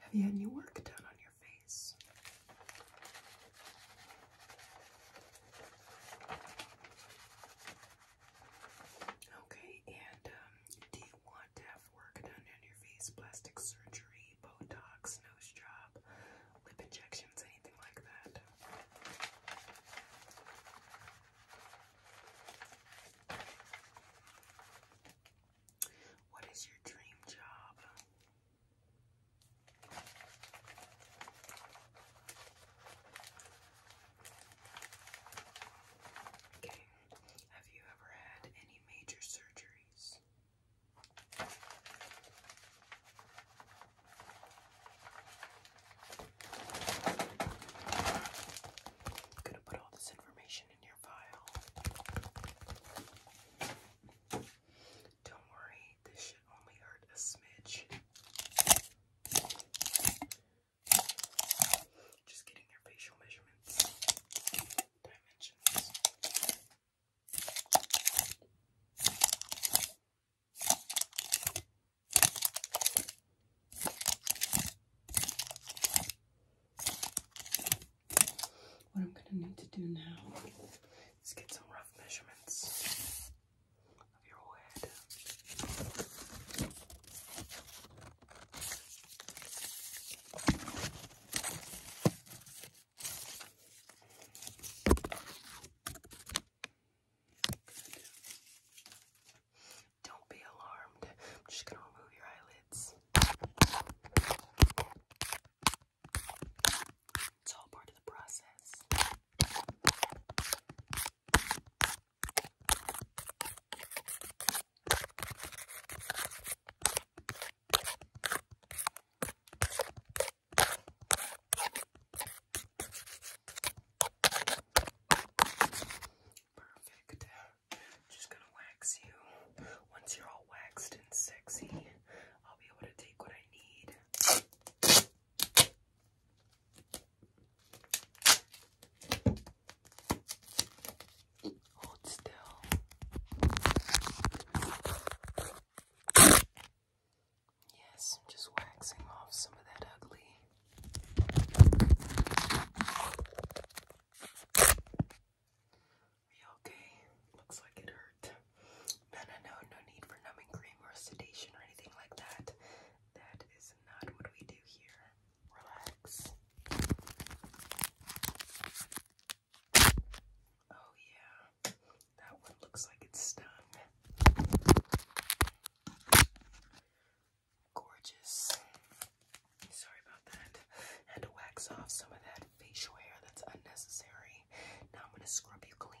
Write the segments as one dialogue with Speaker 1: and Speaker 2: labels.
Speaker 1: Have you had any work done on your face? Okay, and um, do you want to have work done on your face? Plastic surgery, Botox, nose job, lip injections, anything like that? What is your dream job? Okay. Have you ever had any major surgeries? I'm gonna put all this information in your file. Don't worry, this should only hurt a smidge. Just getting your facial measurements, dimensions. What I'm going to need to do now is get some rough measurements of your whole head. Don't be alarmed. I'm just going to remove your eyelids. It's all part of the process. Just gonna wax you. Once you're all waxed and sexy, I'll be able to take what I need. Hold still. Yes, I'm just waxing off some of that ugly. Are you okay? Looks like it hurt. No, no, no, no need for numbing cream or sedation or anything like that. That is not what we do here. Relax. Oh, yeah. That one looks like it's stung. Gorgeous. Sorry about that. Had to wax off some of that facial hair that's unnecessary. Now I'm gonna scrub you clean.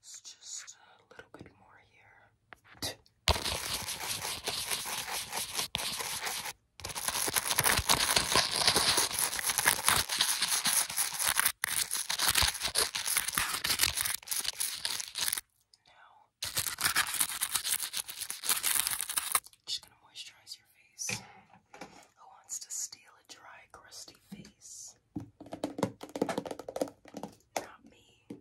Speaker 1: It's just a little bit more here. Now, just gonna moisturize your face. Who wants to steal a dry, crusty face? not me.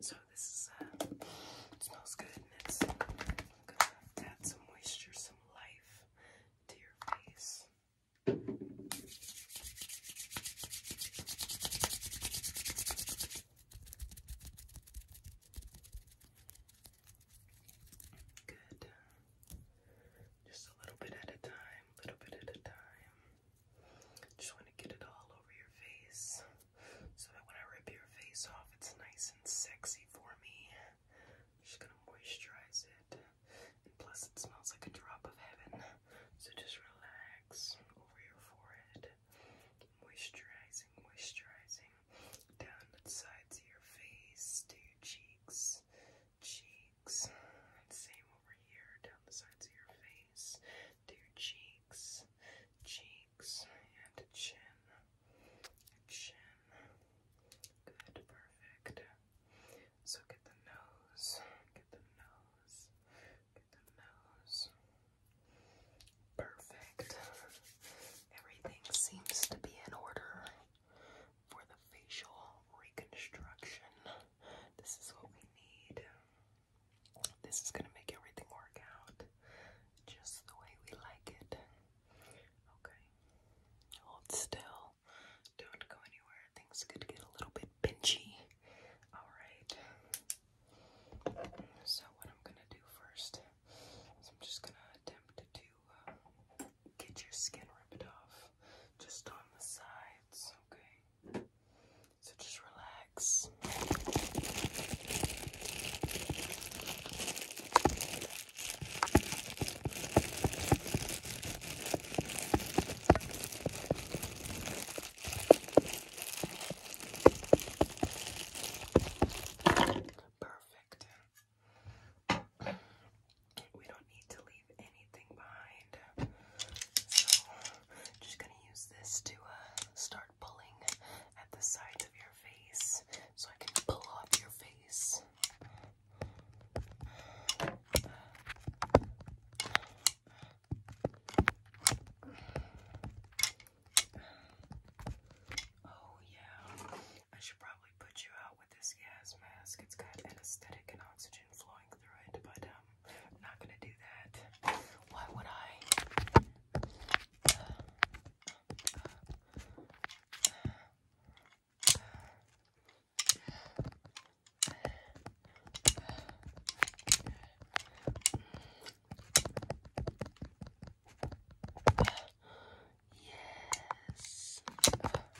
Speaker 1: So this is uh, it smells good and it's gonna add some moisture, some life to your face. Good. Just a little bit at a time, little bit at a time. Just want to get it all over your face so when I rip your face off, it's nice and sexy for me. just gonna moisturize it, and plus, it smells like a drop of heaven. So just relax over your forehead, moisturizing, moisturizing down the sides of your face to cheeks, cheeks cheeks. Same over here, down the sides of your face, to your cheeks, cheeks, and to chin, chin. Good, perfect. So get the nose, get the nose, get the nose. Perfect. Everything seems to be in order for the facial reconstruction. This is what we need. This is gonna make everything work out just the way we like it. Okay. Hold still. Don't go anywhere. Things could get a little bit pinchy. Alright. So what I'm gonna do first is I'm just gonna attempt to uh, get your skin ripped off just on the sides, okay? So just relax. Perfect. We don't need to leave anything behind. So, just gonna use this to uh, start pulling at the sides of your face so I can pull off your face. Oh, yeah. I should probably put you out with this gas mask. It's got anesthetic and oxygen flowing through it, but I'm um, not gonna do that. Why would I? Yes.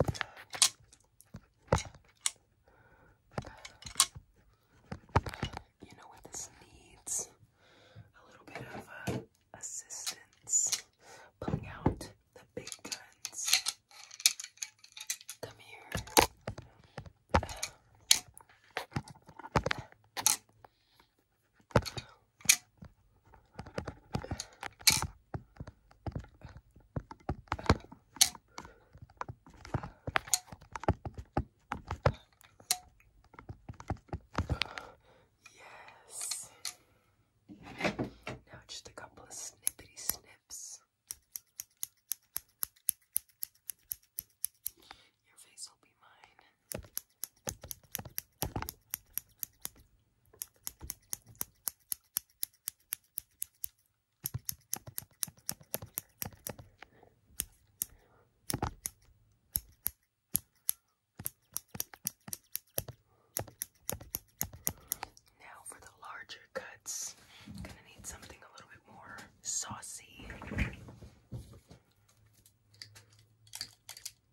Speaker 1: You know what this needs? A little bit of uh, assistance. Pulling out the big guns. Come here. Yes. Now just a couple of snippety snips. Your face will be mine. Now for the larger cuts, gonna need something a little bit more saucy.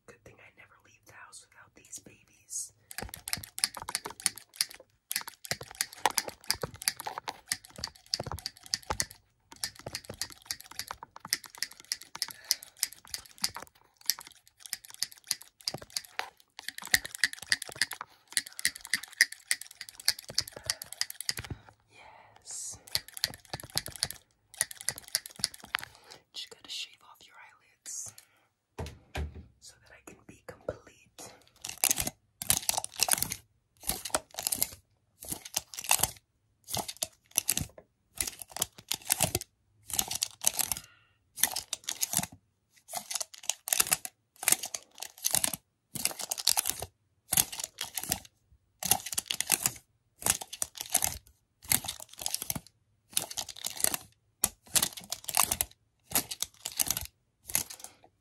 Speaker 1: Good thing I never leave the house without these babies. Yes. Just gotta shave off your eyelids so that I can be complete.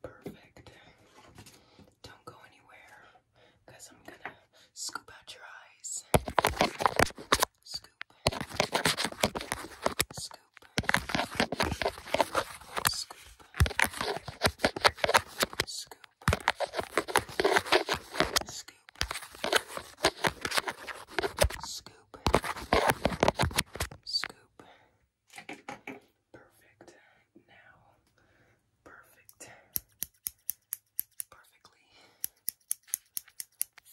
Speaker 1: Perfect. Don't go anywhere because I'm going to scoop out your eyes. Scoop. Scoop. Scoop. Scoop. Scoop. Scoop. Scoop. Perfect. Now. Perfect. Perfectly.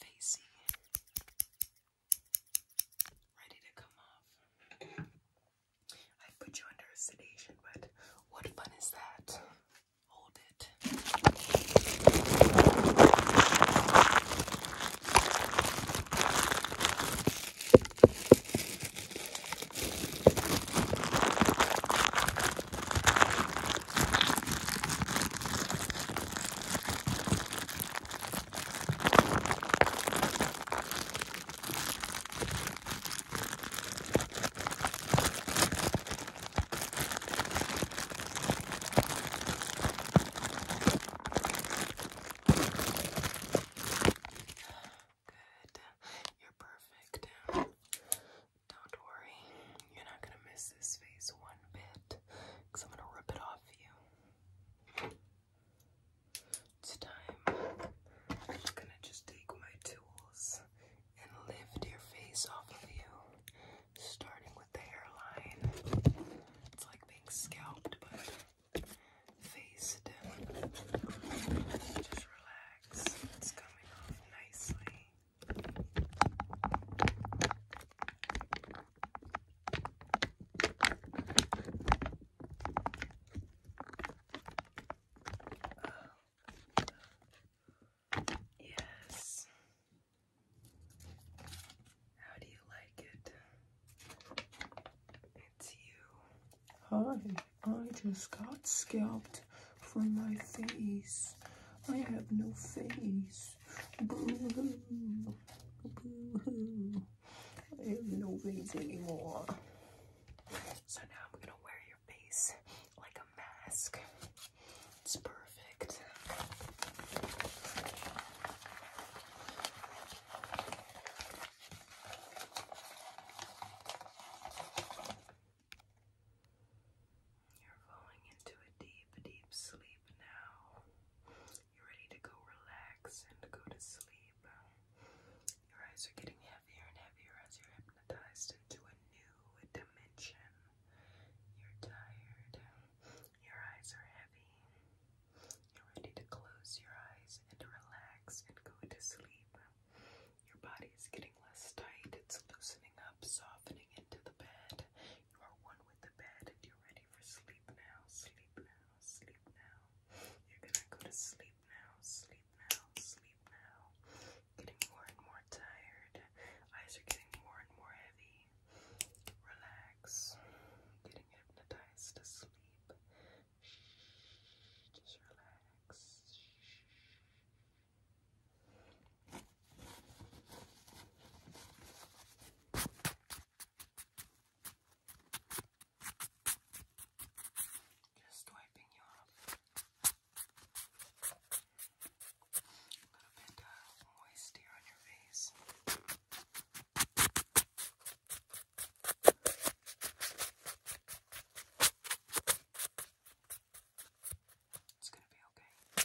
Speaker 1: Facey. Ready to come off. I put you under a sedation, but what fun is that? Hold it. Good. You're perfect. Don't worry. You're not going to miss this face one bit because I'm going to rip it off you. It's time. I'm going to just take my tools and lift your face off of you, starting with the hairline. It's like being scalped, but faced. Just relax. It's coming off nicely. Yes. How do you like it? It's you. Hi, I just got scalped from my face. I have no face. Boo hoo. Boo hoo. I have no face anymore. So now I'm gonna wear your face like a mask. It's perfect. You're falling into a deep, deep sleep now. You're ready to go relax and go to sleep. Your eyes are getting heavier and heavier as you're hypnotized into a new, dimension. You're tired. Your eyes are heavy. You're ready to close your eyes and relax and go to sleep. Your body's getting less tight. It's loosening up, softening into the bed. You are one with the bed and you're ready for sleep now. Sleep now. Sleep now. You're gonna go to sleep now. Sleep sleep now, sleep now. Getting more and more tired. Eyes are getting more and more heavy. Relax. Getting hypnotized to sleep. Just relax. Just wiping you off. A little bit uh, moist here on your face. It's going to be okay.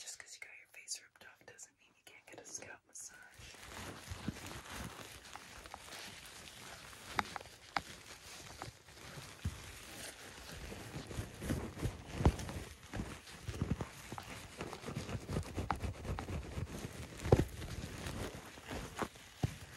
Speaker 1: Just because you got your face ripped off doesn't mean you can't get a scalp massage.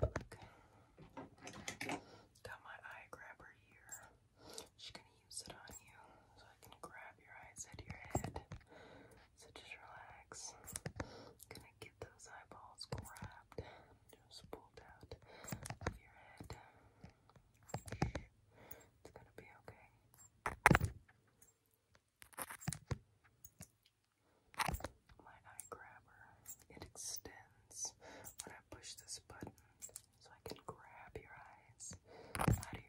Speaker 1: Look. Got my eye grabber here. She's gonna use it on you so I can grab your eyes at your head. So just relax. gonna get those eyeballs grabbed. Just pulled out of your head. It's gonna be okay my eye grabber. It extends when I push this button so I can grab your eyes out of your head.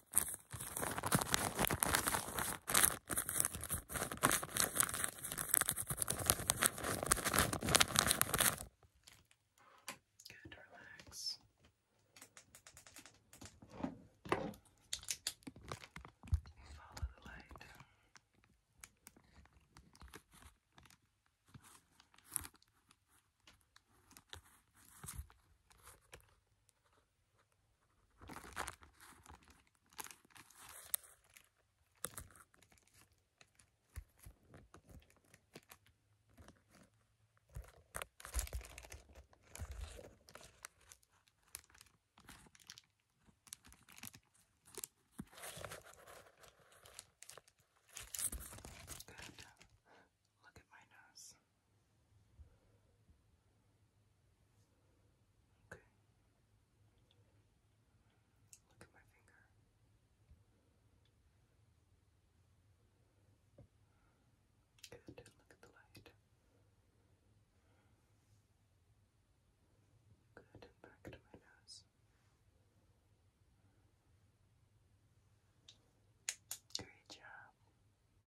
Speaker 1: Good, relax. Follow the light. Good. Good. Look at my nose. Okay. Look at my finger. Good. Look at the light. Good. And back to my nose. Great job.